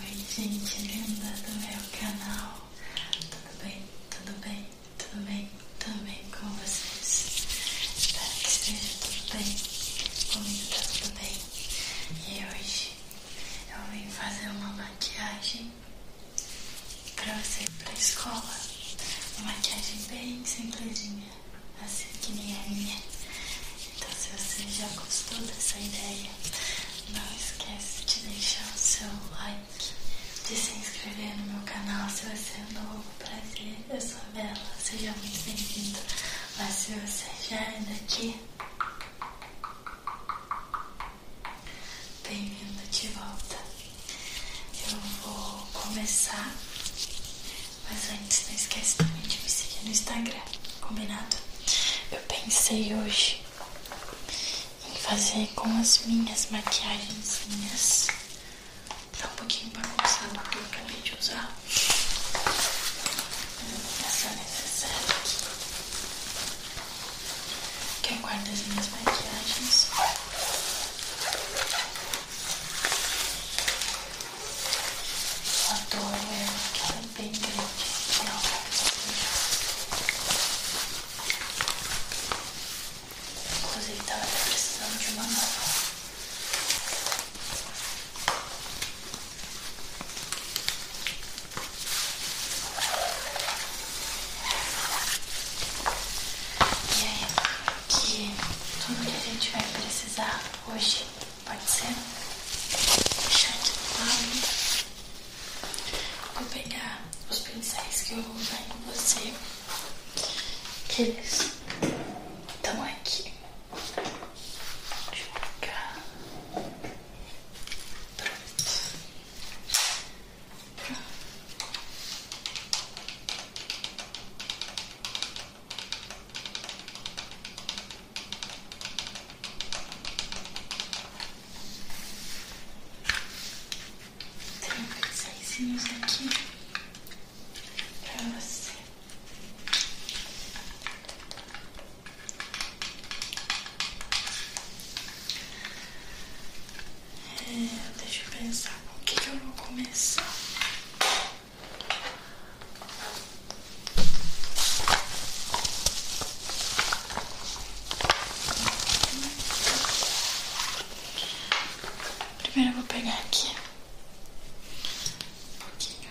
Oi gente linda do meu canal, tudo bem, tudo bem, tudo bem, tudo bem com vocês? Espero que esteja tudo bem, comigo tá tudo bem E hoje eu vim fazer uma maquiagem pra você ir pra escola Uma maquiagem bem simplesinha, assim que nem a minha então se você já gostou dessa ideia, não esquece de deixar o seu like, de se inscrever no meu canal se você é novo prazer Eu sou a Bela, seja muito bem-vindo. Mas se você já é daqui, bem-vindo de volta. Eu vou começar, mas antes não esquece também de me seguir no Instagram. Combinado? Eu pensei hoje em fazer com as minhas maquiagens Tá um pouquinho bagunçado porque eu acabei de usar. Essa necessária aqui. Que eu guardo as minhas maquiagens. A dor é bem grande. Não vai Inclusive, estava precisando de uma nova. E aí, que tudo que a gente vai precisar hoje. Pode ser? Deixar de né? lado. Vou pegar os pincéis que eu vou usar em você. Eles estão aqui. Deixa eu pegar. Pronto. Pronto. Pronto. Tem pincéis aqui pra você. É, deixa eu pensar o que eu vou começar. Primeiro eu vou pegar aqui um pouquinho.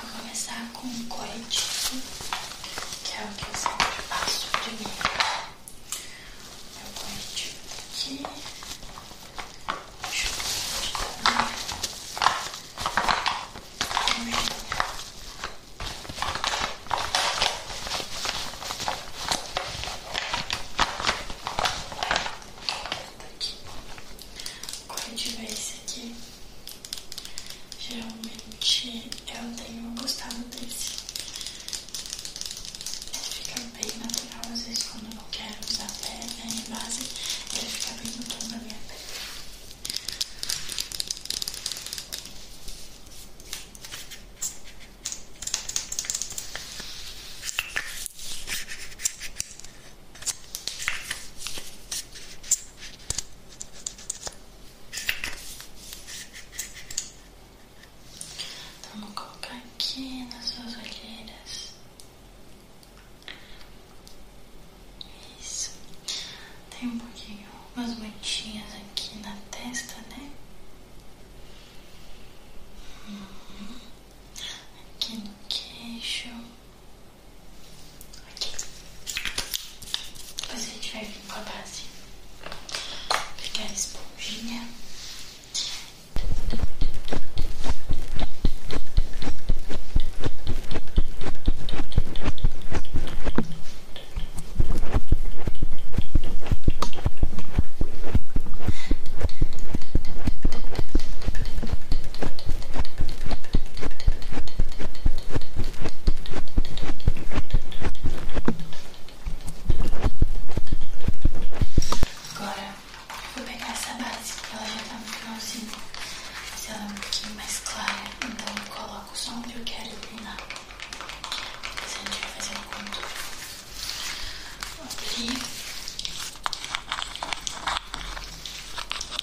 Vou começar com um corretivo, que é o que eu sempre passo primeiro. Meu corretivo tá aqui. Deixa eu ver aqui Tá aqui. O corretivo é esse aqui. Geralmente eu tenho gostado desse. Ele fica bem natural, às vezes quando eu não quero usar pele né, em base, ele fica bem no tom da minha pele. Então vamos colocar aqui nas suas olheiras. Isso. Tem um pouquinho, umas mantinhas aqui na testa, né? Uhum. Aqui no queixo. Aqui. Depois a gente vai vir com a base. Pegar a esponjinha. Vou Agora vou pegar essa base que ela já tá no finalzinho, mas ela é um pouquinho mais clara, então coloco só onde eu quero iluminar. Depois a gente vai fazer um contorno. Vou abrir.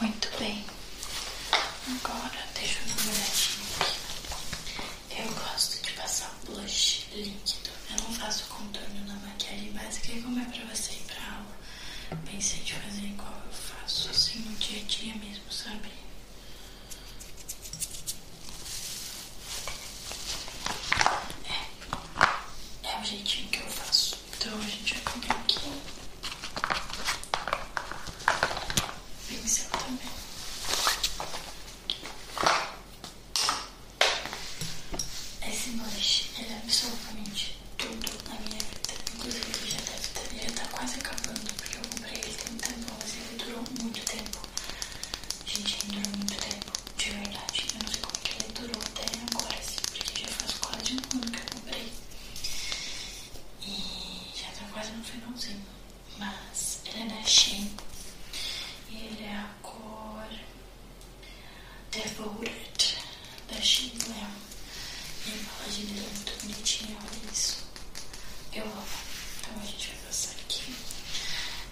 Muito bem, agora deixa eu dar uma olhadinha aqui. Eu gosto de passar blush líquido. Eu não faço contorno na maquiagem básica, e é como é pra você ir pra aula, pensei em fazer igual eu faço assim no dia a dia mesmo, sabe? É, é o jeitinho que eu faço. Então a gente vai comer aqui. Pincel também. Esse lanche, ele é absolutamente tudo na minha vida. Inclusive ele já deve ter, já tá quase acabando, porque eu comprei ele tem tempo, mas ele durou muito tempo. Gente, ainda durou muito tempo, de verdade. Eu não sei como que ele durou até agora, assim, porque já faz quase um ano que eu comprei. E já tá quase no finalzinho. Mas ele é da Shein. E ele é a cor Devoted da Shein Glam. E a embalagem dele é muito bonitinha, olha isso eu amo. Então a gente vai passar aqui.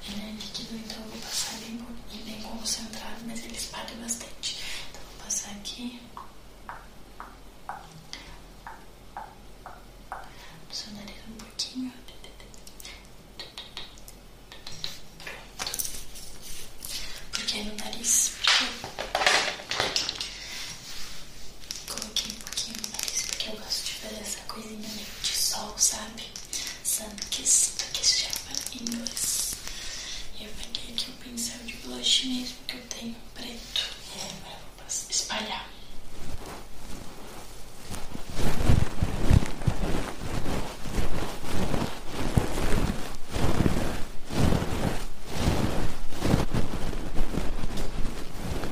Ele é né, líquido, então eu vou passar bem, bem concentrado, mas ele espalha bastante. Então vou passar aqui. No seu nariz um pouquinho. Pronto. Porque é no nariz. Coloquei um pouquinho mais porque eu gosto de fazer essa coisinha de sol, sabe? Sun kiss, porque se chama em inglês. E eu peguei aqui o pincel de blush mesmo que eu tenho preto. E agora eu vou espalhar. Vou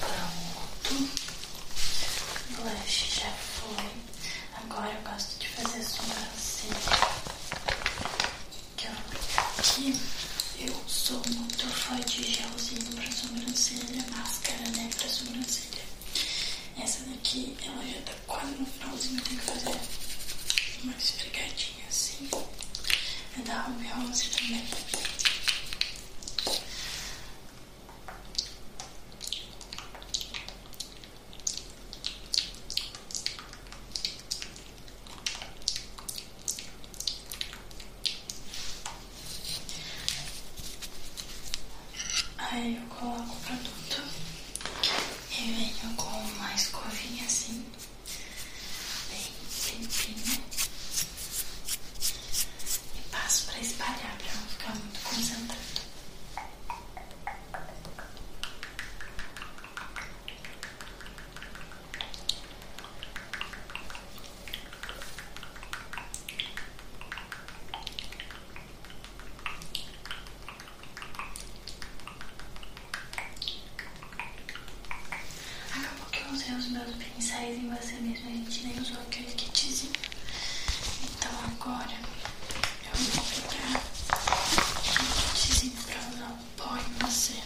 Pronto. O blush já foi. Agora eu gosto de fazer a sobrancelha. Então, aqui eu sou muito fã de gelzinho pra sobrancelha, máscara, né? Pra sobrancelha. Essa daqui, ela já tá quase no finalzinho, tem que fazer uma esfregadinha assim. É da Ruby Rose também. Aí eu coloco o produto e venho com uma escovinha assim, bem limpinha, e passo para espalhar para não ficar muito concentrado. Acabou que eu usei os meus pincéis em você mesmo, a gente nem usou aquele kitzinho. Então agora eu vou pegar um kitzinho pra usar o em você.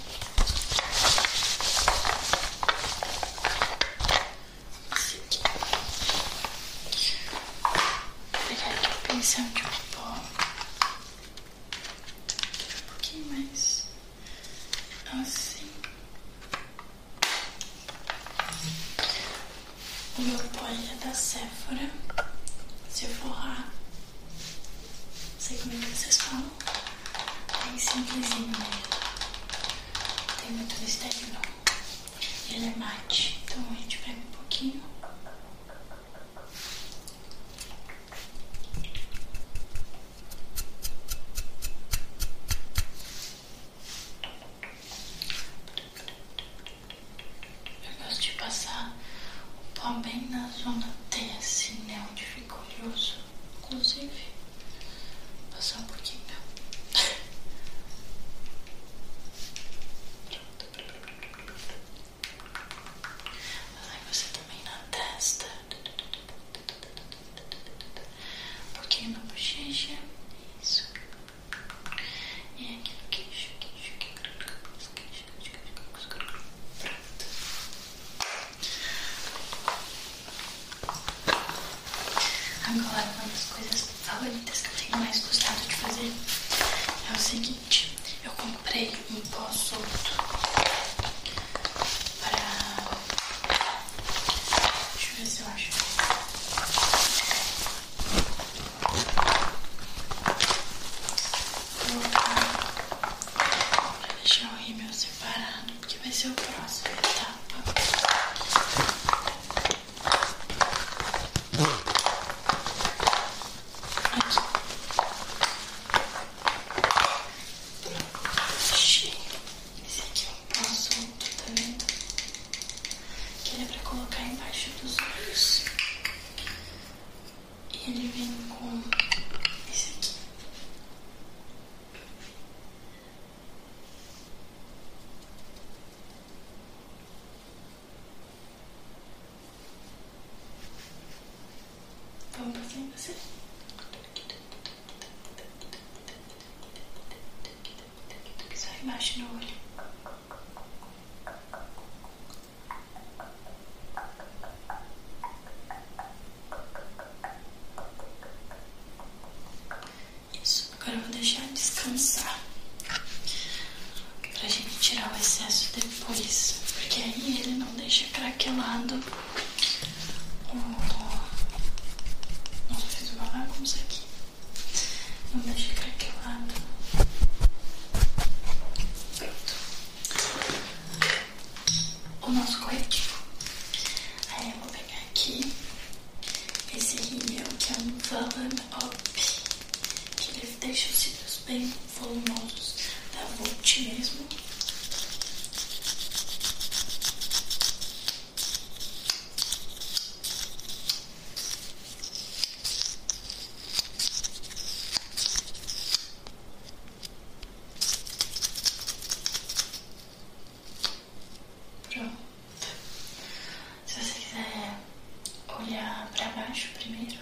Vou pegar que o pincel de pó. Um pouquinho mais. Assim. O meu pó é da tá Sephora. Sephora. Não sei como é que vocês falam. Bem simplesinho mesmo. tem muito mistério não. Ele é mate, então a gente pega um pouquinho. Eu gosto de passar o pó bem na zona T, assim, né? Onde fica oleoso, inclusive. Só um pouquinho. não, Ai, você também na testa. Um pouquinho na bochecha. Isso. E aqui no queixo, queixo, queixo, queixo, queixo, queixo, queixo. Pronto. Agora, uma das coisas favoritas que eu tenho mais gostado de fazer é o seguinte: eu comprei um pó solto para. Deixa eu ver se eu acho. Vou colocar pra deixar o rímel separado, porque vai ser o próximo esse aqui é é um que ele colocar embaixo dos olhos ele vem com esse aqui. Vamos passar em você. Só embaixo no olho. Isso, agora eu vou deixar descansar pra gente tirar o excesso depois, porque aí ele não deixa craquelado o. Nossa, fiz uma bagunça aqui. Não deixa craquelado. Pronto. O nosso corretivo. Aí eu vou pegar aqui esse rímel é que é um Valen Up, que ele deixa os cílios bem volumosos da Vult mesmo. Pronto. Se você quiser olhar para baixo primeiro.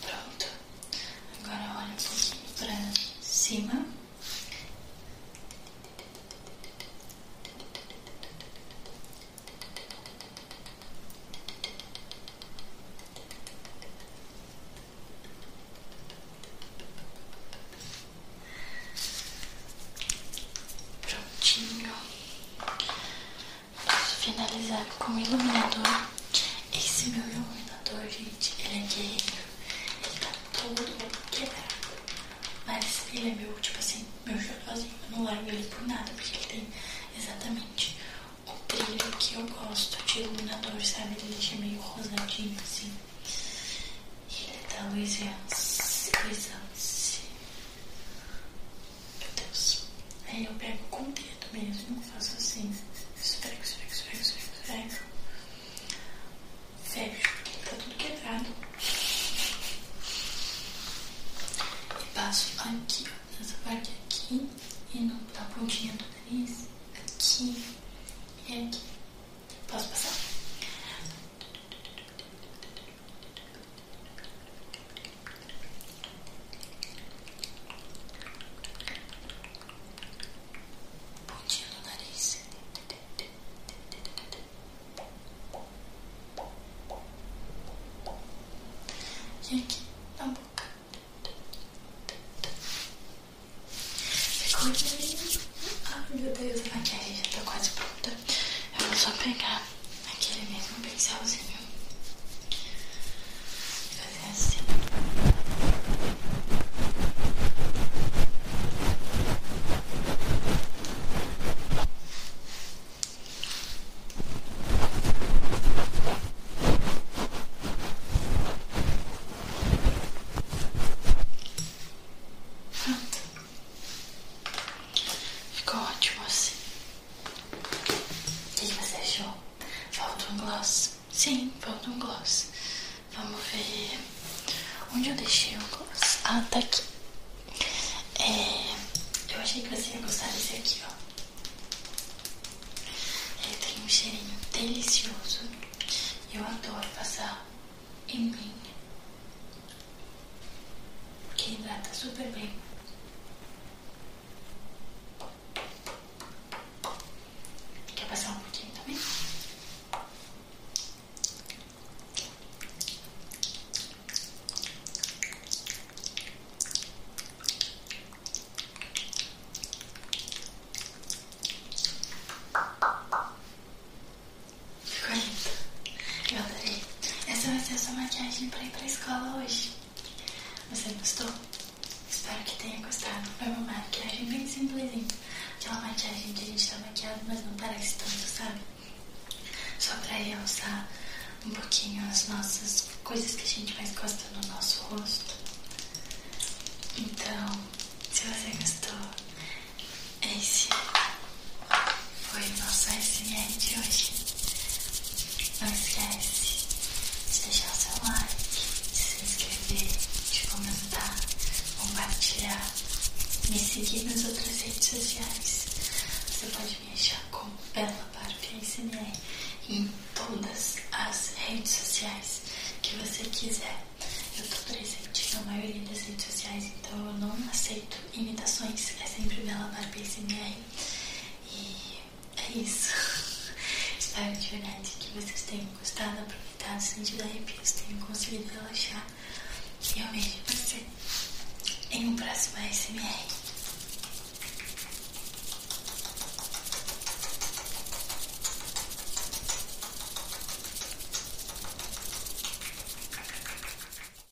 Pronto. Agora olha um pouquinho pra cima. Prontinho. Vamos finalizar com o iluminador. Esse meu iluminador, gente, ele é guerreiro. Ele tá todo quebrado. Mas ele é meu, tipo assim, meu xodózinho. Eu não largo ele por nada, porque ele tem exatamente o brilho que eu gosto de iluminador, sabe? Ele deixa meio rosadinho, assim. E ele é da Louis Vuitton. Louis Vuitton. Meu Deus. Aí é, eu pego com o dedo mesmo, faço assim, esfrego, esfrego, esfrego, esfrego, esfrego. Fecho, tá tudo quebrado. E passo aqui, ó, nessa parte aqui, e no, na pontinha do nariz, aqui e aqui. Posso passar? Pontinha no nariz. E aqui na boca. Ficou lindo. Ai meu Deus, a maquiagem já tá quase pronta. Eu vou só pegar Aquele mesmo pincelzinho. Fazer assim. Ficou ótimo assim. O que você achou? Falta um gloss? Sim, falta um gloss. Vamos ver. Onde eu deixei o gloss? Ah, tá aqui. É, eu achei que você ia gostar desse aqui, ó. Ele é, tem um cheirinho delicioso. e Eu adoro passar em mim. Porque hidrata super bem. Quer passar um pouquinho também? Ficou linda. Eu adorei. Essa vai ser a sua maquiagem pra ir pra escola hoje. Você gostou? Espero que tenha gostado. Foi uma maquiagem bem simplesinha. Aquela é maquiagem que a gente tá maquiado, mas não parece tanto, sabe? Só pra realçar um pouquinho as nossas coisas que a gente mais gosta no nosso rosto. Então, se você gostou, é esse foi o nosso SR de hoje. Não esquece de deixar o seu like, de se inscrever, de comentar, compartilhar, me seguir nas outras redes sociais. Você pode me achar como Bela Barba SMR em todas as redes sociais que você quiser. Eu tô presente na maioria das redes sociais, então eu não aceito imitações. É sempre Bela Barba SMR. E é isso. Espero de verdade que vocês tenham gostado, aproveitado, sentido arrepios, tenham conseguido relaxar. E eu vejo você em um próximo ASMR.